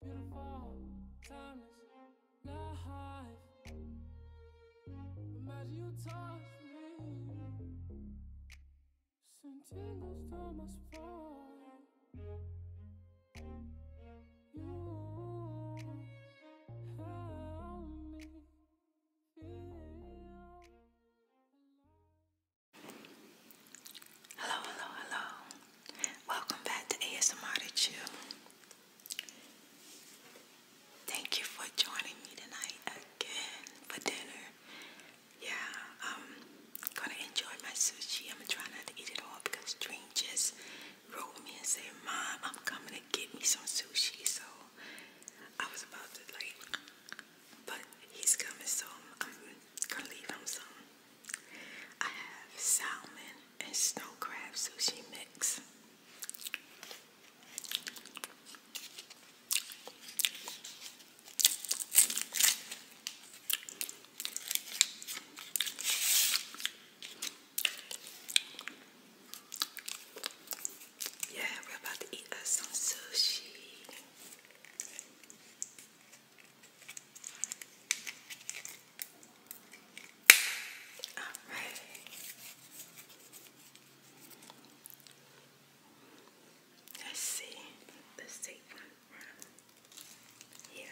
Beautiful, timeless, life. Imagine you Hello, hello, hello. Welcome back to ASMR to Chill. Thank you for joining me tonight again for dinner. Yeah, i gonna enjoy my sushi. I'm trying not to eat it all because Dream just wrote me and said, Mom, I'm coming to get me some sushi. So I was about to like, but he's coming, so I'm gonna leave him some. I have salmon, and snow crab sushi mix. Yeah, we're about to eat us some sushi. All right. Let's see. Let's take one from here.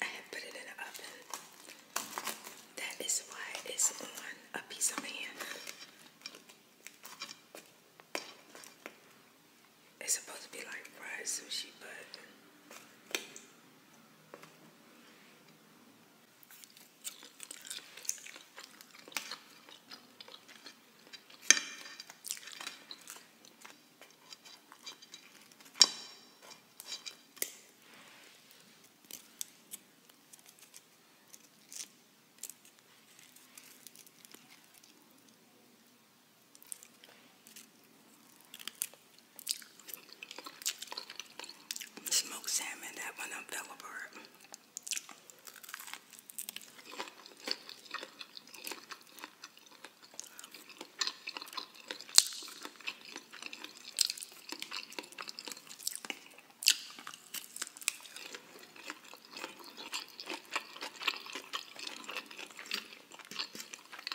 I have put it in the oven. That is why it's on a piece of hand. It's supposed to be like fried sushi, but Smoked salmon, that one I'm fell apart.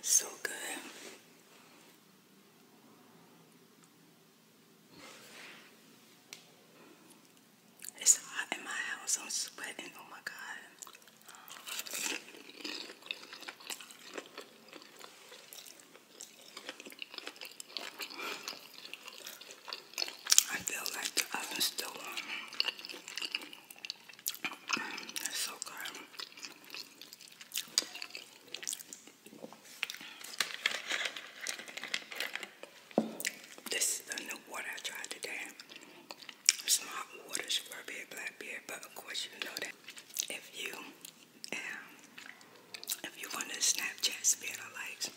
it's so good. It's hot in my house. I'm sweating. Oh my god. I feel like the oven's still mm, so good. This is the new water I tried today. It's not water, strawberry, blackberry, but of course you know that if you and if you want to Snapchat spare likes,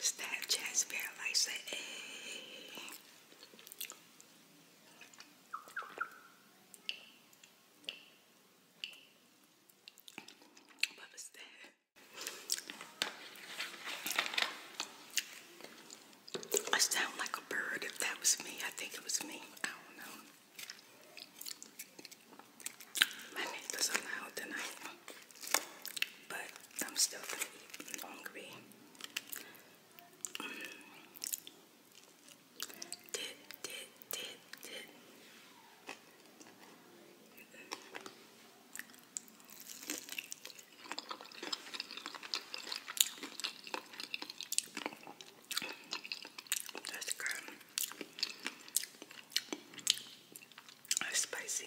Snapchat spare likes, say, hey. I sound like a bird. If that was me, I think it was me. I don't know. My neighbors are loud tonight, but I'm still gonna be hungry. Mm. Did, did, did, mm-hmm. That's good. Spicy.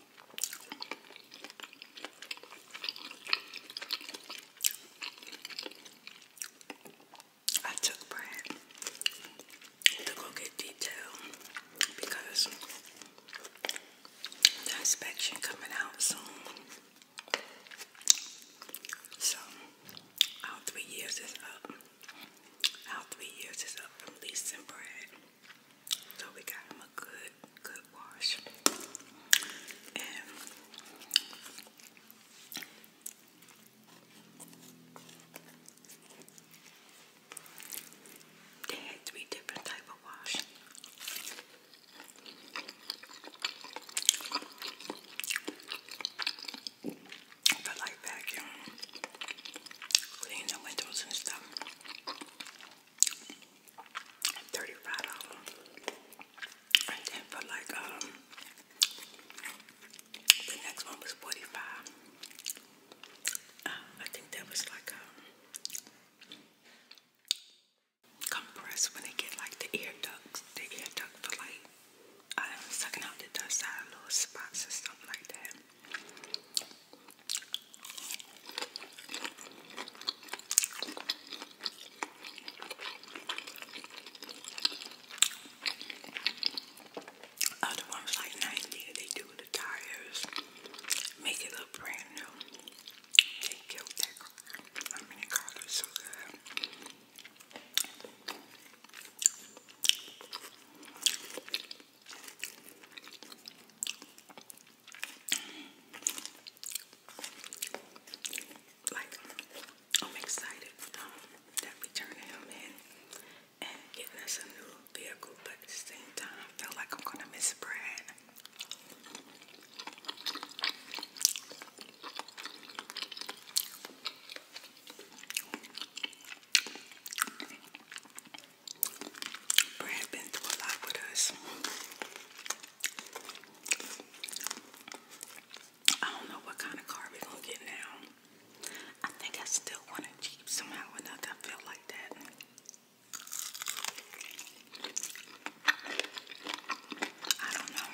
I took bread to go get detailed because the inspection coming out soon. So our three years is up. Our three years is up from leasing bread. So we got him a good, good wash. they had three different type of wash. For like vacuum, Cleaning the windows and stuff. Thirty-five and then for like um, the next one was forty-five. Uh, I think that was like um, compressed when they get like the ear ducts, the ear duct for like. i uh, sucking out the dust out of little spots or something like that. Other ones like 90, they do the tires, make it look brand new. They killed that car. I mean, the car so good. Like, I'm excited um, that we turning him in and getting us a new vehicle, but at the same time, I feel like I'm gonna miss Brad. Brand been through a lot with us. I don't know what kind of car we're gonna get now. I think I still want a Jeep somehow or another. I feel like that. I don't know.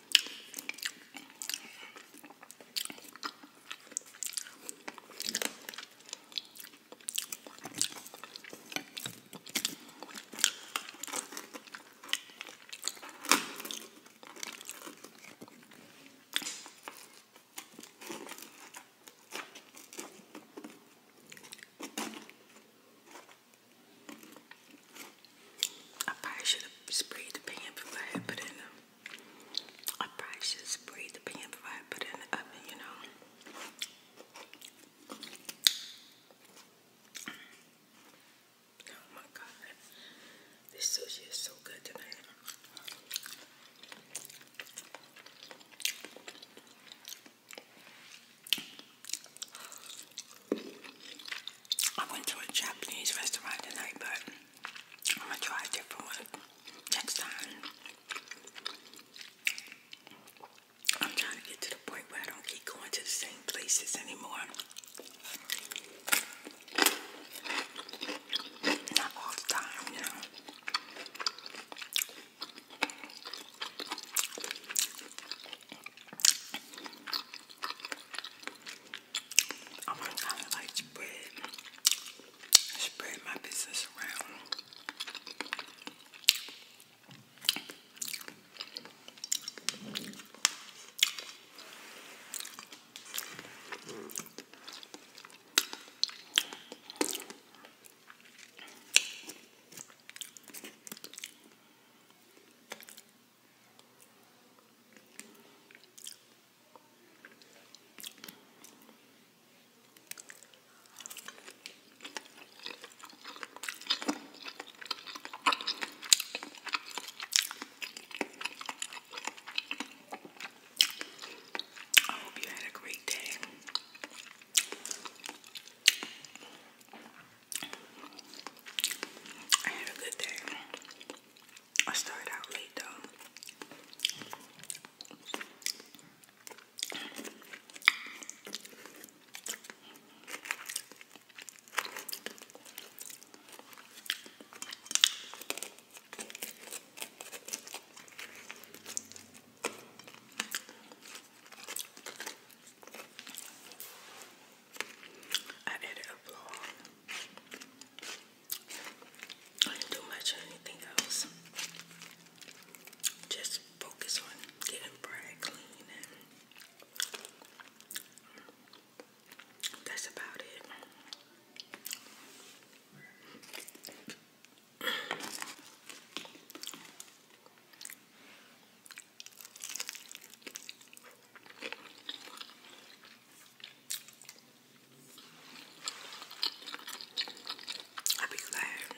I probably should have sprayed the pan before I had put it in them. I probably should spray the pan before I put it in the oven, you know. Oh my god, this sushi is so good tonight. I went to a Japanese restaurant tonight, but I'm gonna try different ones next time. I'm trying to get to the point where I don't keep going to the same places anymore. Not all the time, you I am going to kind of like spread, spread my business around. I hope you had a great day. I had a good day. I started out late though. I did a vlog I didn't do much or anything else. Just focus on getting bread clean that's about it. I'll be glad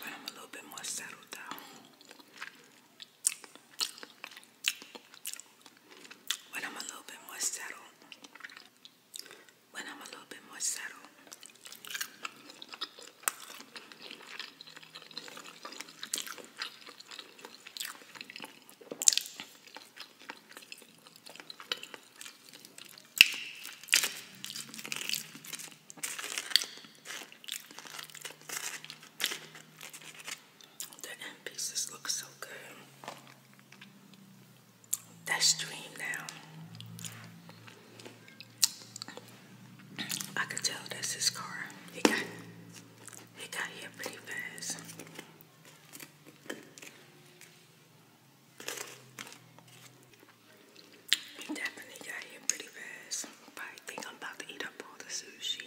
but I'm a little bit more settled down. When I'm a little bit more settled, when I'm a little bit more settled, the end pieces look so good. That's dream now. I could tell that's his car. He got he got here pretty fast. We definitely got here pretty fast. But I think I'm about to eat up all the sushi.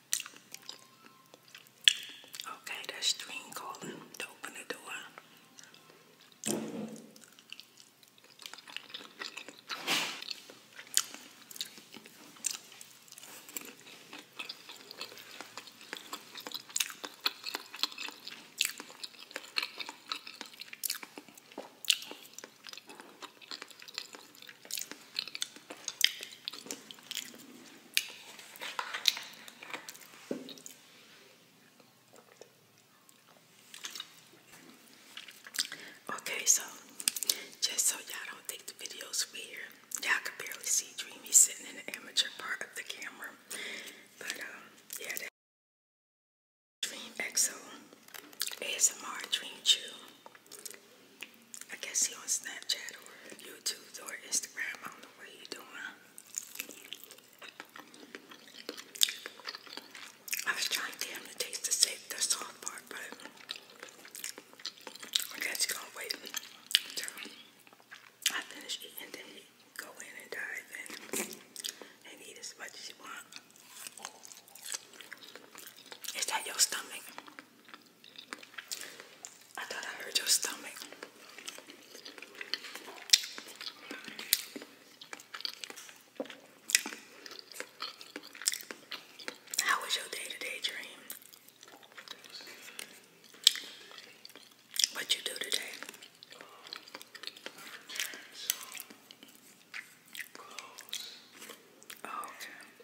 Okay, that's string calling to open the door. Okay, so just so y'all don't think the video's weird, y'all can barely see Dreamy sitting in the amateur part of the camera. But um, yeah, that Dream EXO ASMR Dream Chew. I guess he on Snapchat or YouTube or Instagram. What are you doing? I was trying to get him to taste the safe, the soft part, but guess you gonna wait I finish eating, then go in and dive in and eat as much as you want. Is that your stomach? I thought I heard your stomach. How was your day to day dream? What you do today? Oh, okay.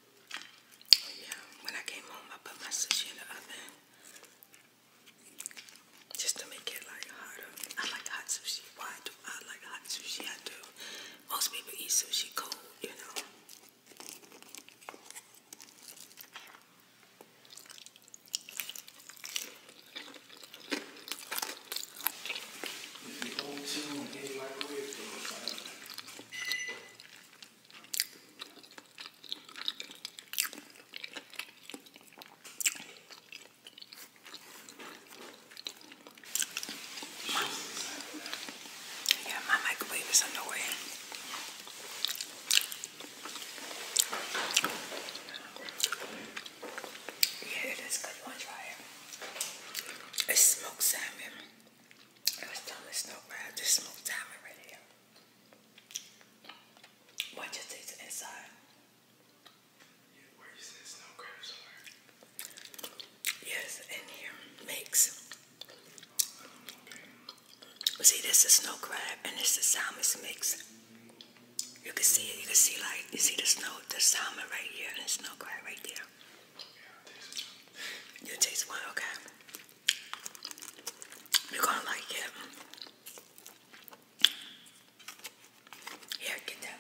Yeah, when I came home, I put my sushi in the oven just to make it like hotter. I like hot sushi. Why do I like hot sushi? I do. Most people eat sushi cold, you know. Yeah, my microwave is underway. Yeah, it is good. You try it? It's smoked salmon. I was telling the snow crab this smoked salmon right here. Watch it taste inside. where you said snow crabs are? Yes, in here. Mix. You See, this is snow crab and this is salmon mix. You can see it. You can see like you see the snow, the salmon right here, and the snow crab right there. you taste one, okay? You're gonna like it. Yeah, get that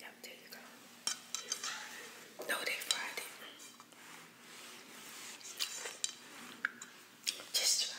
Yep, there you go. No, they fried Just try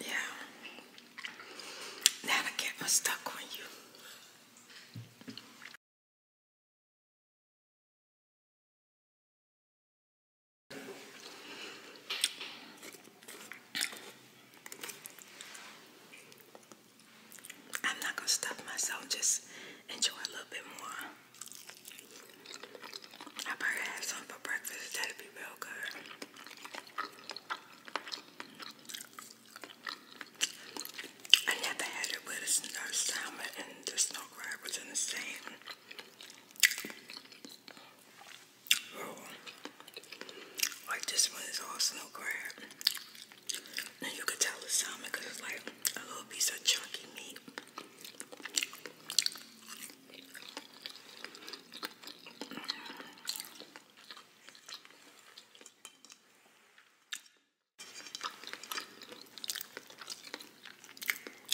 Yeah. Now I get my stuck on you. I'm not gonna stop myself, just enjoy a little bit more. I probably have some for breakfast, that'd be real good. I never had it with a salmon and the snow crab was in the same oh, Like this one is all snow crab. And you could tell it's salmon because it's like a little piece of chunky meat.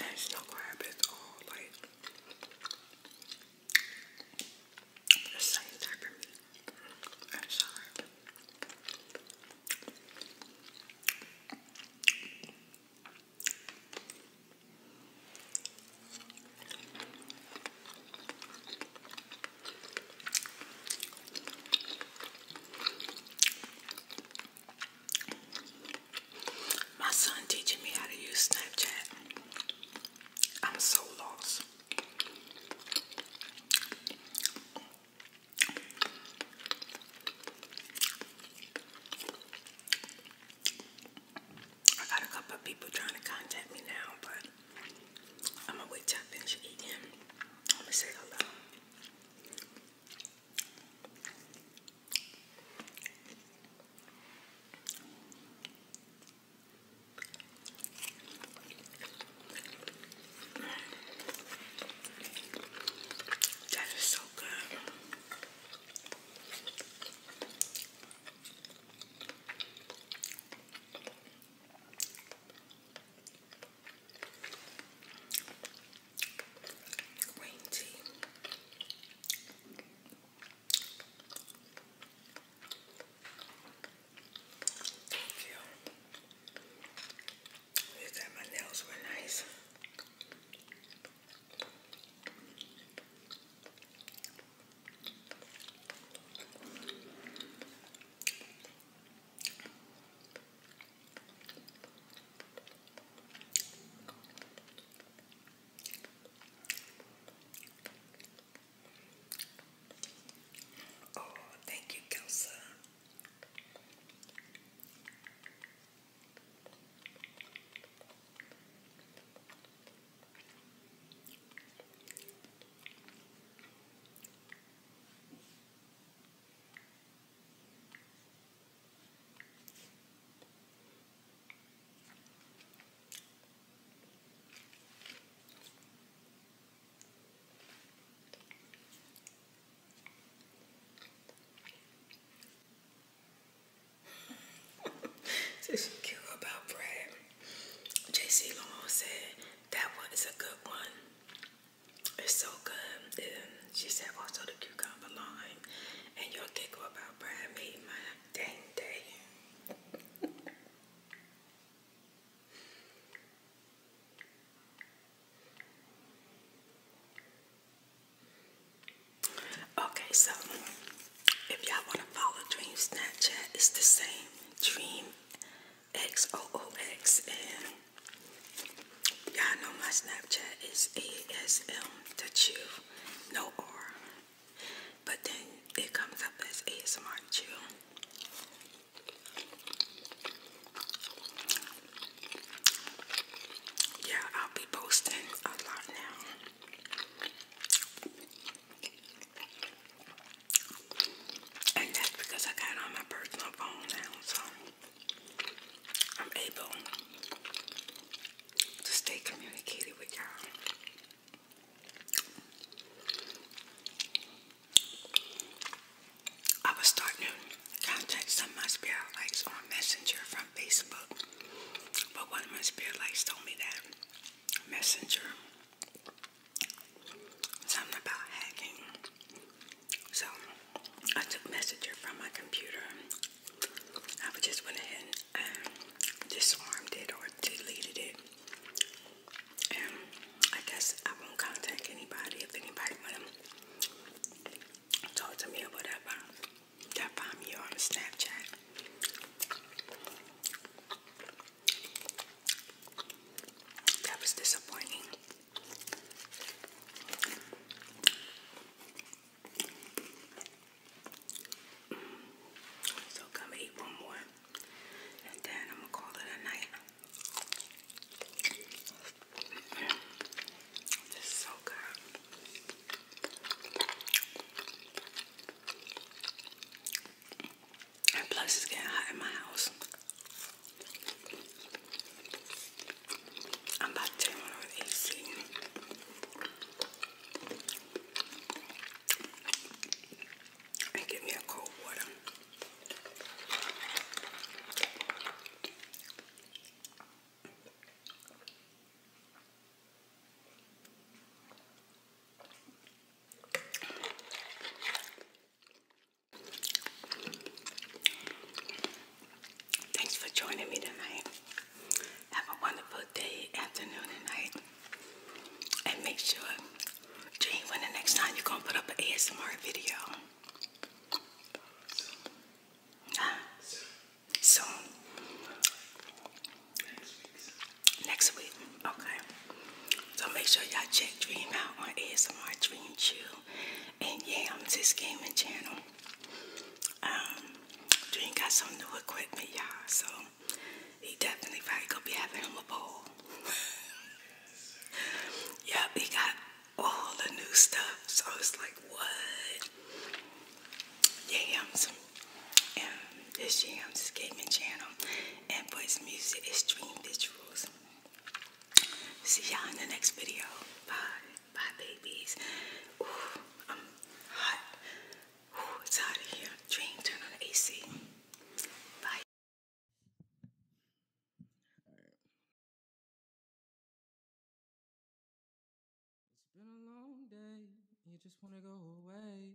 And snow crab is all like the same type of meat and sharp. My son teaching me how to use Snapchat. I'm so lost. I got a couple of people trying to contact me now, but I'm gonna wait till I finish eating. I'm gonna say hello. That is so good. Green tea. Thank you. You my nails were nice. Oh, thank you, Kelsa. This is about bread. JC Long said that one is a good one. It's so good. And she said also the cucumber lime and you your giggle about Brad made my dang day. Okay, so if y'all want to follow Dream Snapchat, it's the same Dream XOOX and y'all know my Snapchat is ASM the no R. But then it comes up as ASMR chill. Yeah, I'll be posting a lot now. And that's because I got on my personal phone now, so I'm able to stay communicated with y'all. I was starting to contact some of my spirit lights on Messenger from Facebook, but one of my spirit lights told me that Messenger something about hacking. So I took Messenger from my computer. I just went ahead and disarmed it or deleted it. And I guess I won't contact anybody if anybody wanna talk to me or whatever. That find me on Snapchat. That was disappointing. So come eat one more, and then I'm gonna call it a night. This so good. And plus, it's getting hot in my house. I'm about to turn on with AC. And give me a cold water. Thanks for joining me tonight. Have a wonderful day, afternoon, and night. And make sure, Jane, when the next time you're going to put up an ASMR video. Soon next week. Okay. So make sure y'all check Dream out on ASMR Dream Chill and Yam's his gaming channel. Um, Dream got some new equipment, y'all. So he definitely probably gonna be having him a bowl. yep, he got all the new stuff. So it's like what? Yams and this Yam's gaming channel and for his music, Extreme Visuals. See y'all in the next video. Bye. Bye, babies. Ooh, I'm hot. Ooh, it's out of here. Dream, turn on the AC. Bye. right. It's been a long day. You just want to go away.